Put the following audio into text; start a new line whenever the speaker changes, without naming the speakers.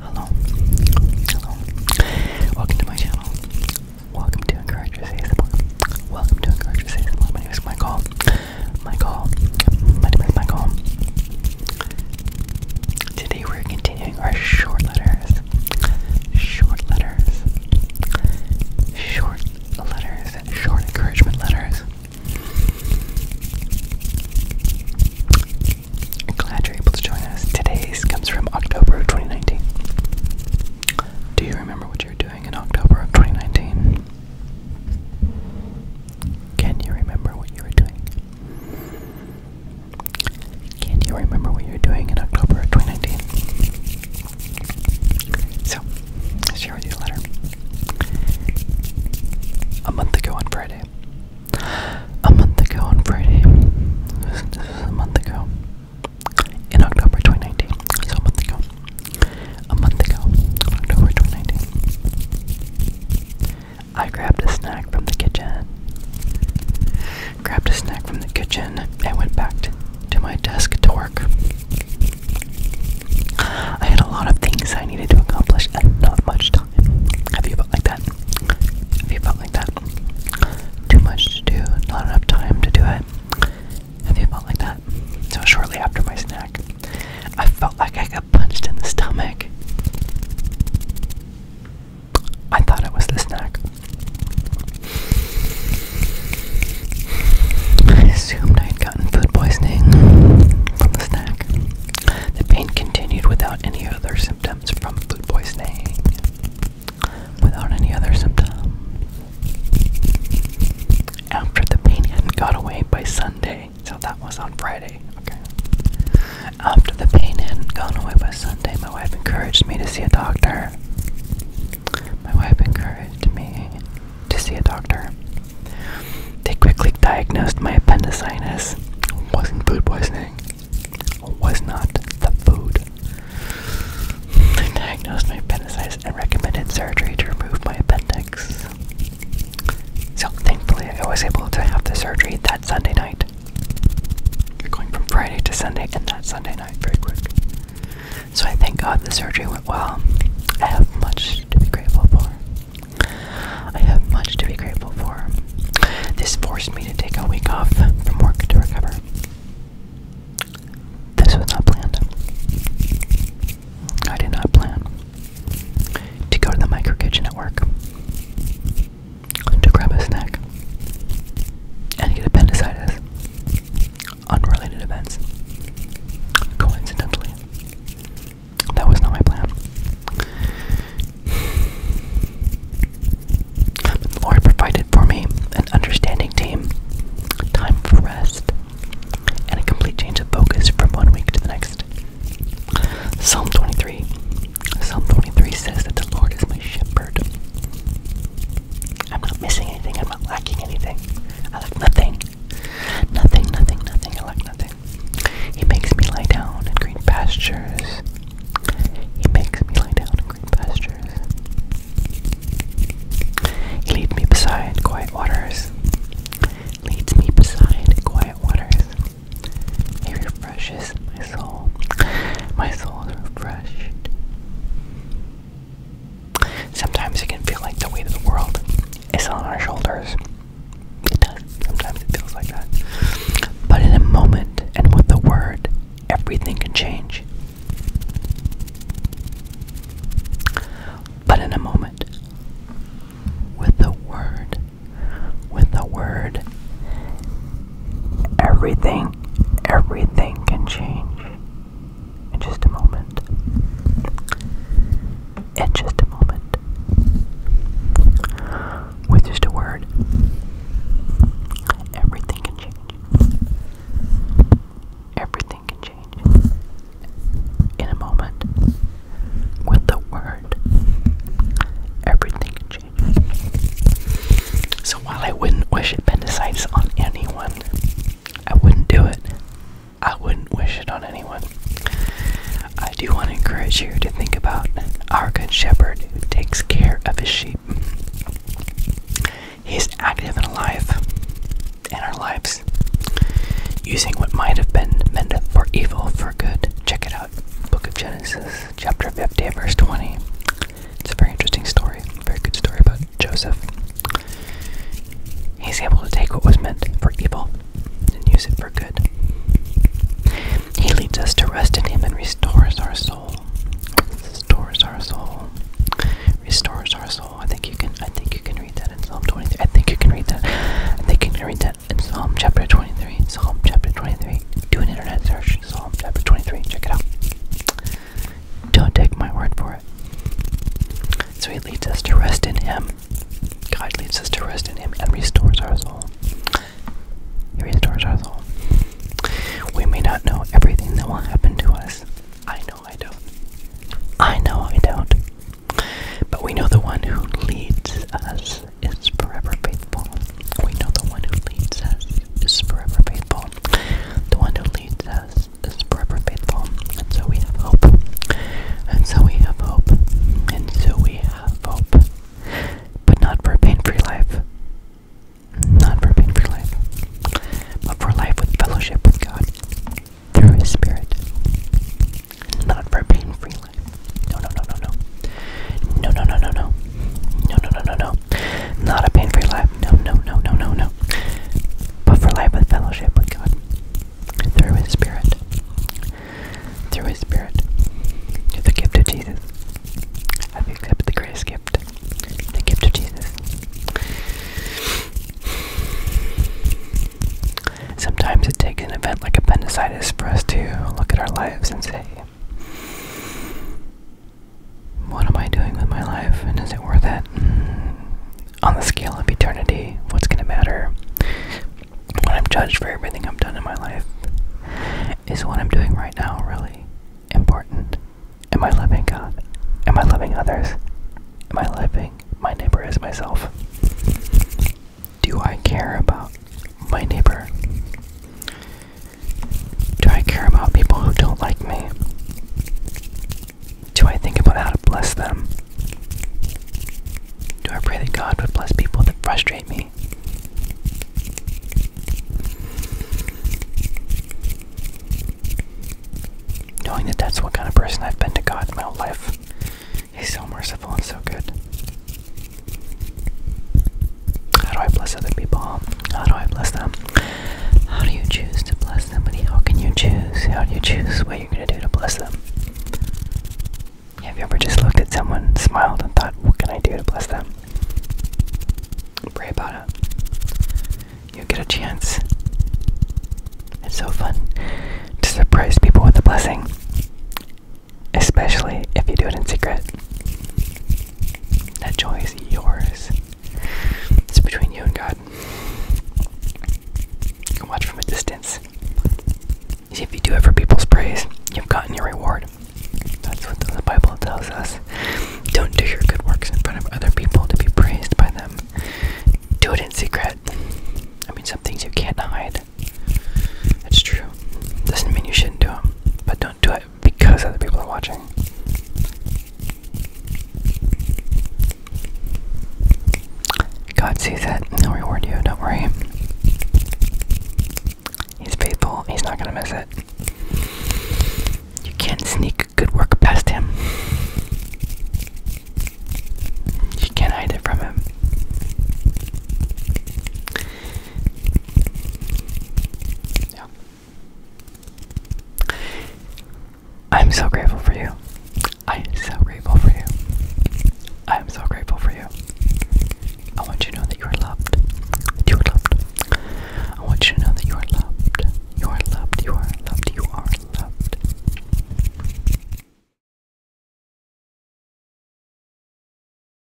Hello, hello. Welcome to my channel. Welcome to Encourage ASMR. Welcome to Encourage ASMR. My name is Michael. Michael. My name is Michael. Today we're continuing our short letters. Short letters. Short letters. Short encouragement letters. Glad you're able to join us. Today's comes from October of 2019. Do you remember what you were doing in October of 2019? Can you remember what you were doing? Can you remember what you were doing in October of 2019? So, i share with you a letter. A month ago on Friday, a month ago on Friday, this is a month ago, in October 2019, so a month ago, a month ago, October 2019, I grabbed a snack from the kitchen, grabbed a snack from the kitchen, and went back to my desk to work. I had a lot of things I needed to accomplish and not much time. Have you felt like that? Have you felt like that? Too much to do, not enough time to do it. Have you felt like that? So shortly after my snack, I felt like I got punched in the stomach. I thought it was the snack. I assumed I had gotten food poisoning from the snack. The pain continued without any other symptoms from food poisoning. Without any other symptoms. After the pain had got away by Sunday, so that was on Friday, okay. After the pain hadn't away by Sunday, my wife encouraged me to see a doctor. My wife encouraged me to see a doctor. They quickly diagnosed my appendicitis. Wasn't food poisoning. Was not the food. They diagnosed my appendicitis and recommended surgery to remove my appendix. So thankfully, I was able to have the surgery that Sunday night. You're going from Friday to Sunday, and that Sunday night very quick. So I thank God the surgery went well. I have much to be grateful for. I have much to be grateful for. This forced me to take a week off from work to recover. This was not planned. I did not plan to go to the micro kitchen at work, to grab a snack, and get appendicitis. Unrelated events. Coincidentally. That was not my plan. The Lord provided for me an understanding team, time for rest, and a complete change of focus from one week to the next. Psalm 23. Psalm 23 says that the Lord is my shepherd. I'm not missing anything, I'm not lacking anything. I lack nothing. Nothing, nothing, nothing. like nothing. He makes me lie down in green pastures. He makes me lie down in green pastures. He leads me beside quiet waters. Leads me beside quiet waters. He refreshes my soul. My soul is refreshed. Sometimes it can feel like the weight of the world is on our shoulders. Sometimes it feels like that. But in a moment and with the word, everything can change. But in a moment, with the word, with the word, everything, everything can change in just a moment. In just a moment. With just a word, everything can change. Everything can change in a moment. With the word, everything can change. So while I wouldn't wish appendicitis on anyone, I wouldn't do it. I wouldn't wish it on anyone. I do want to encourage you to think about our good shepherd who takes care of his sheep. He's active and alive in our lives, using what might have been meant for evil for good. Check it out. Book of Genesis, chapter 50, verse 20. It's a very interesting story, very good story, but Joseph. He's able to take what was meant for evil and use it for good. He leads us to rest in Him and restores our soul. Restores our soul. Restores our soul. I think you can. I think you can read that in Psalm 23. I think you can read that. I think you can read that in Psalm chapter 23. Psalm chapter 23. Do an internet search. Psalm chapter 23. Check it out. Don't take my word for it. So he leads us to rest in him. God leads us to rest in him and restores our soul. He restores our soul. We may not know everything that will happen to us. I know I don't. I know I don't. But we know the one who leads us is forever faithful. We know the one who leads us is forever faithful. The one who leads us Jesus is forever faithful, and so we have hope. And so we have hope. And so we have hope. But not for a pain free life. Not for a pain free life. But for life with fellowship with God through His Spirit. Not for a pain free life. No, no, no, no, no. No, no, no, no, no. No, no, no, no, no. Not a pain free life. No, no, no, no, no, no. But for life with fellowship with God. Through His Spirit. Through His Spirit. Through the gift of Jesus. the gift, accepted the grace gift? The gift of Jesus. Sometimes it takes an event like appendicitis for us to look at our lives and say, what am I doing with my life, and is it worth it? Mm, on the scale of eternity, what's gonna matter? When I'm judged for everything I've done in my life, is what I'm doing right now really important? Am I loving God? Am I loving others? Am I loving my neighbor as myself? Do I care about my neighbor? Do I care about people who don't like me? Do I think about how to bless them? Do I pray that God would bless people that frustrate me? Knowing that that's what kind of person I've been to God in my whole life, He's so merciful and so good. How do I bless other people? How do I bless them? How do you choose to bless them? But How can you choose? How do you choose what you're going to do to bless them? Have you ever just looked at someone, smiled, and thought, what can I do to bless them? Pray about it. You get a chance. It's so fun to surprise people with a blessing, especially if you do it in secret. That joy is yours. It's between you and God. You can watch from a distance. see, if you do it for people's praise, you've gotten your reward. That's what the Bible tells us. Don't do your good works in front of other people to be praised by them. Do it in secret. I mean, some things you can't hide. That's true. Doesn't mean you shouldn't do them, but don't do it because other people are watching. God sees it, and will reward you, don't worry. He's faithful, he's not gonna miss it. You can't sneak good work past him. You can't hide it from him. Yeah. I'm so grateful for you. I'm so grateful for you. I'm so grateful for you. I want you to know that you are loved. You are loved. I want you to know that you are loved. You are loved. You are loved. You are loved.